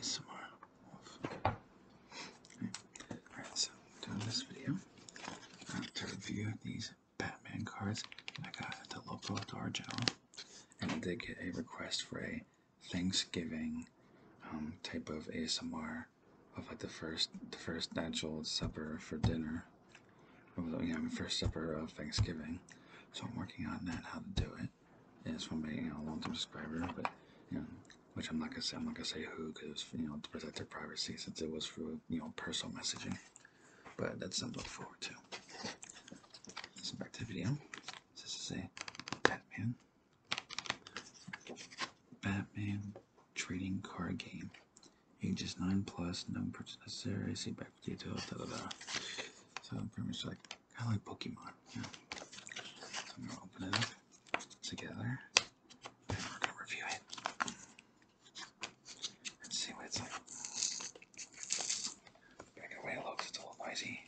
So, more. Okay. Alright, so doing this video, I have to review these Batman cards I got at the local Dollar and I did get a request for a Thanksgiving um, type of ASMR of like the first the first natural supper for dinner, or the you know, first supper of Thanksgiving. So I'm working on that, how to do it is from a long-term subscriber, but which I'm not gonna say I'm not gonna say who because you know to protect their privacy since it was through you know personal messaging. But that's something to look forward to. So back to the video. This is a Batman. Batman trading card game. Ages 9 plus, no purchase necessary, see back with details, da da da. So pretty much like Kind of like Pokemon. Yeah. I'm gonna open it up together. we're gonna review it. And see what it's like. Back it away a little because it's a little noisy.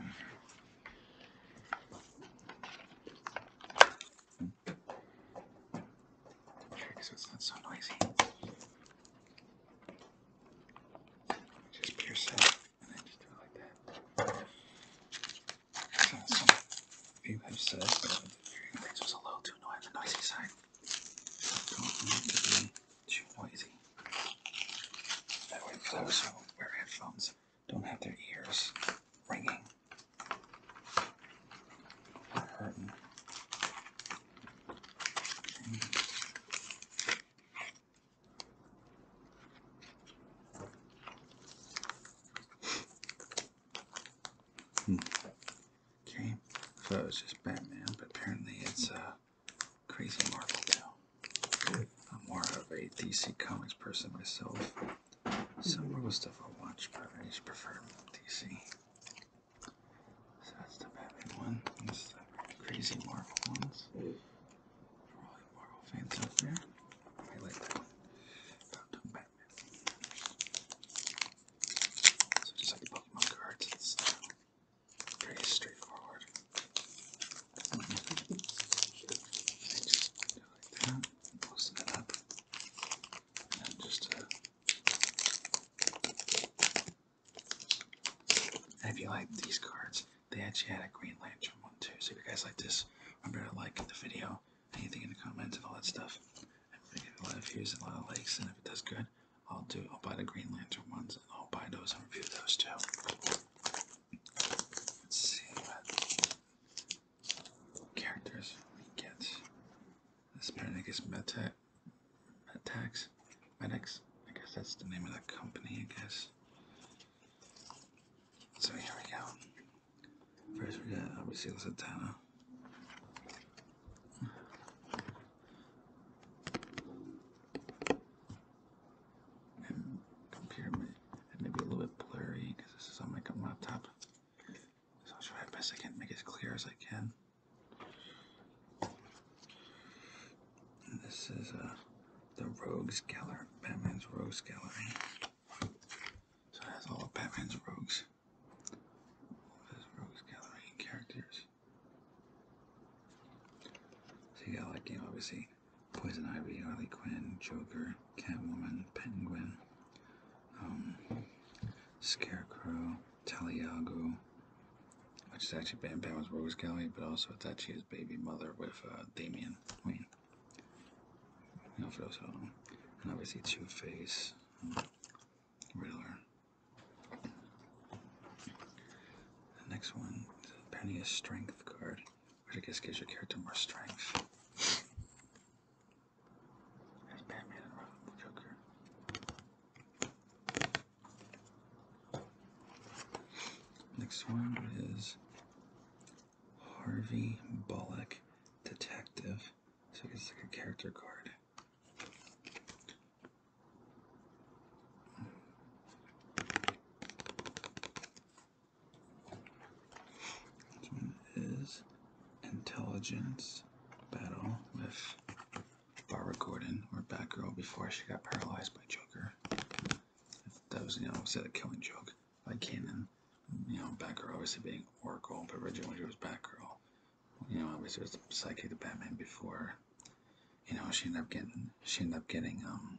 Mm-hmm. So it's not so noisy. Just pierce it, and then just do it like that. So some people said hearing aids was a little too noisy, the noisy side. don't need to be too noisy. That way, for wear headphones, don't have their ears ringing or hurting. Hmm. Okay, so it's just Batman, but apparently it's a uh, crazy Marvel now. I'm more of a DC Comics person myself. Some Marvel stuff i watch, but I just prefer DC. So that's the Batman one. This is the crazy Marvel ones. For all you Marvel fans out there, I like that one. About Batman. So just like the Pokemon cards, it's pretty straightforward. I just do like that, loosen it up, and just and if you like these cards, they actually had a Green Lantern one too. So if you guys like this, remember to like the video, anything in the comments and all that stuff. I'm get a lot of views and a lot of likes, and if it does good, I'll do I'll buy the Green Lantern ones and I'll buy those and review those too. Let's see what characters we get. This Pernigus Meta pet pet Medics. I guess that's the name of the company, I guess. So here we go. First we got obviously Satana. And computer it may a little bit blurry because this is on my laptop. So I'll try my best I can make it as clear as I can this is uh, the Rogues Gallery, Batman's Rogues Gallery. So it has all of Batman's rogues, all his Rogues Gallery characters. So you got like, you obviously Poison Ivy, Harley Quinn, Joker, Catwoman, Penguin, um, Scarecrow. Taliago, which is actually Bam Bam's Rogues Gallery, but also that she his baby mother with uh, Damian Wayne. You know, for those who And obviously Two Face, um, Riddler. The next one is apparently a strength card, which I guess gives your character more strength. There's Batman Joker. Next one is Harvey Bullock, Detective. So it's like a character card. This one is Intelligence Battle with Barbara Gordon or Batgirl before she got paralyzed by Joker. that was, you know, obviously the killing joke by Kanan. You know, Batgirl obviously being Oracle, but originally she was Batgirl. You know, obviously was psychic to Batman before. You know, she ended up getting she ended up getting um,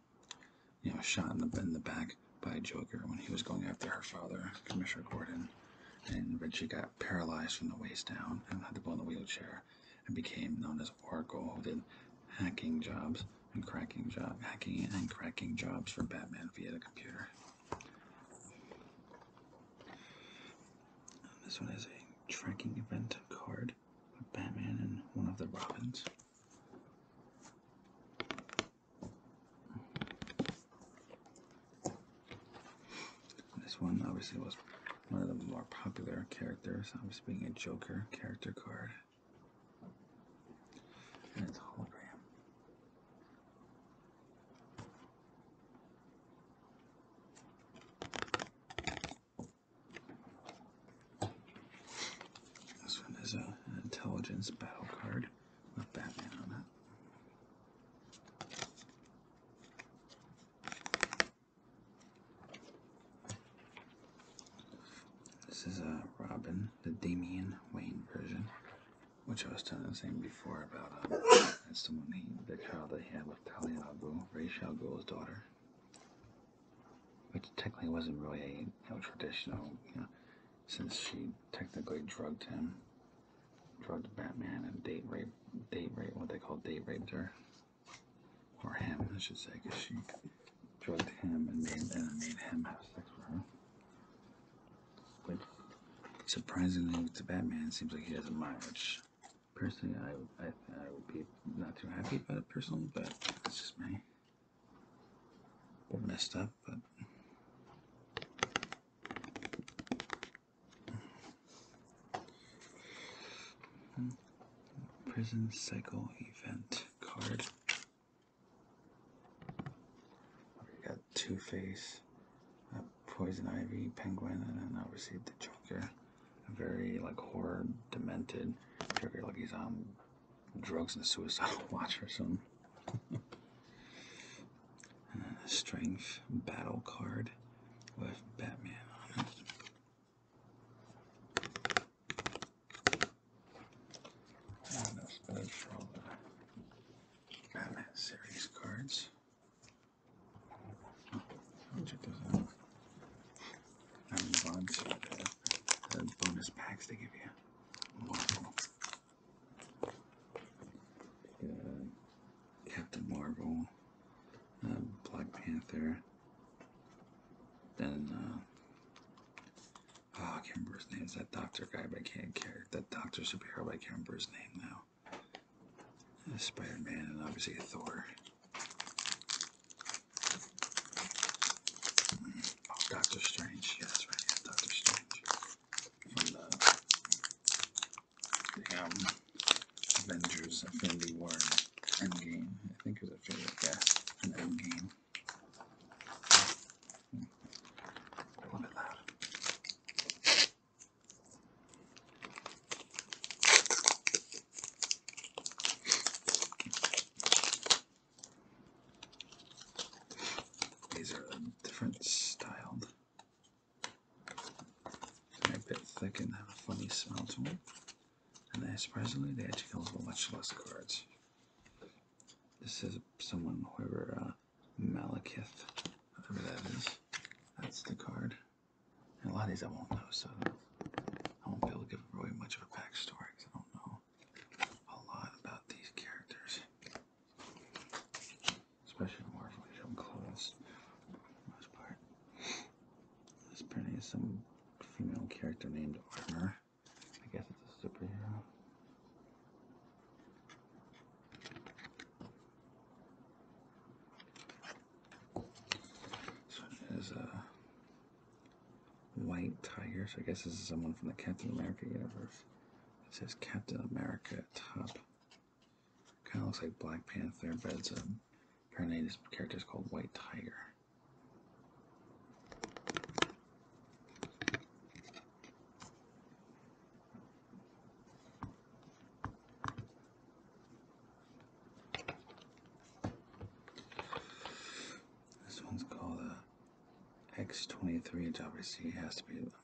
you know, shot in the in the back by Joker when he was going after her father, Commissioner Gordon, and then she got paralyzed from the waist down and had to go in a wheelchair and became known as Oracle, who did hacking jobs and cracking job hacking and cracking jobs for Batman via the computer. this one is a tracking event card with Batman and one of the Robins. This one obviously was one of the more popular characters, I'm just being a Joker character card. And it's hologram. This one is an intelligence battle card with Batman on that. This is uh, Robin, the Damian Wayne version, which I was telling the same before about. that's the one he, the child that he had with Talia al Ghul, Ra's al daughter, which technically wasn't really a you know, traditional, you know, since she technically drugged him drugged Batman and date rape, date rape, what they call date raped her, or him, I should say, because she drugged him and made and made him have sex with her. Which, surprisingly, to Batman, seems like he doesn't mind. Which, personally, I, I I would be not too happy about it personally, but it's just me. Messed up, but Prison Cycle Event card. We got Two Face, Poison Ivy, Penguin, and then I received the Joker. very like horror, demented Joker, like he's on drugs and suicidal watch or something and then strength battle card with Batman on it. that's good for all the Batman series cards. Oh, check those out. I'm on bonus packs they give you. Wonderful. Captain Marvel, uh, Black Panther, then uh, oh, can't remember his name. is that Doctor guy, but I can't care. That Doctor Superhero, but I can't remember his name now. Uh, Spider Man, and obviously Thor. Oh, Doctor Strange. Yeah, that's right. Yeah, Doctor Strange. Uh, Avengers Infinity War Endgame. I think it was a favorite guess. Endgame. Hmm. A little bit These are different styled they're a bit thick and have a funny smell to them. And then, surprisingly, the actually come with much less cards. This is someone, whoever, uh, whatever that is. That's the card. a lot of these I won't know, so I won't be able to give really much of a backstory because I don't know a lot about these characters especially more from clothes for the most part. This apparently is some female character named Armor. I guess it's a superhero. This one is a uh, white tiger, so I guess this is someone from the Captain America universe. It says Captain America top. Kind of looks like Black Panther, but it's a apparently this character is called White Tiger. This one's called a X23, which obviously has to be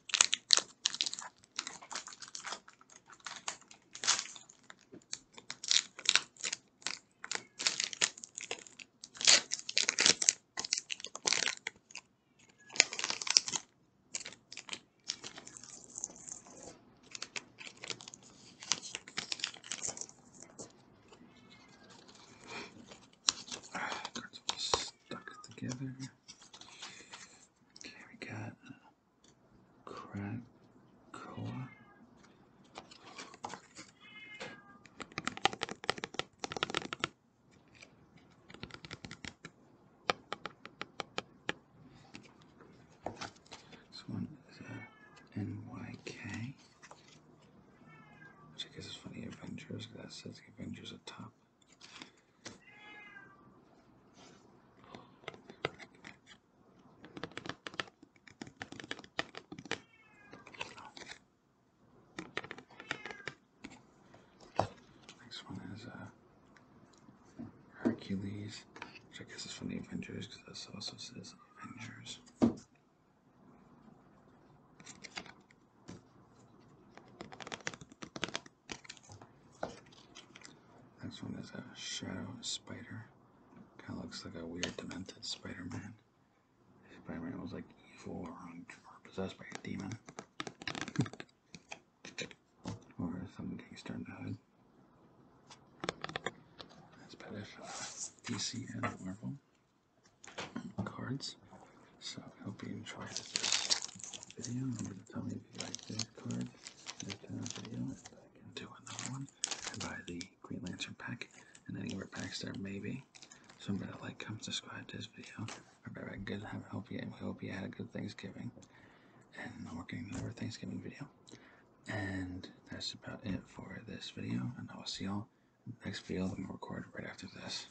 Cards all stuck together. Okay, we got Core. This one is a NYK, which I guess is funny. the Avengers. That says the Avengers top. Next one is uh, Hercules, which I guess is from the Avengers because this also says Avengers. Next one is a shadow spider. Kind of looks like a weird demented Spider-Man. Spider-Man was like evil possessed by a demon. or some gangster in the hood. That's Pettish DC and Marvel cards. So I hope you enjoyed this video. tell me if you liked it. Uh, do another one. And buy the Green Lantern pack and any other packs there maybe. So I'm gonna like, comment, subscribe to this video. Remember, good have hope you we hope you had a good Thanksgiving. And I'm working another Thanksgiving video. And that's about it for this video. And I will see y'all next video I'm record right after this.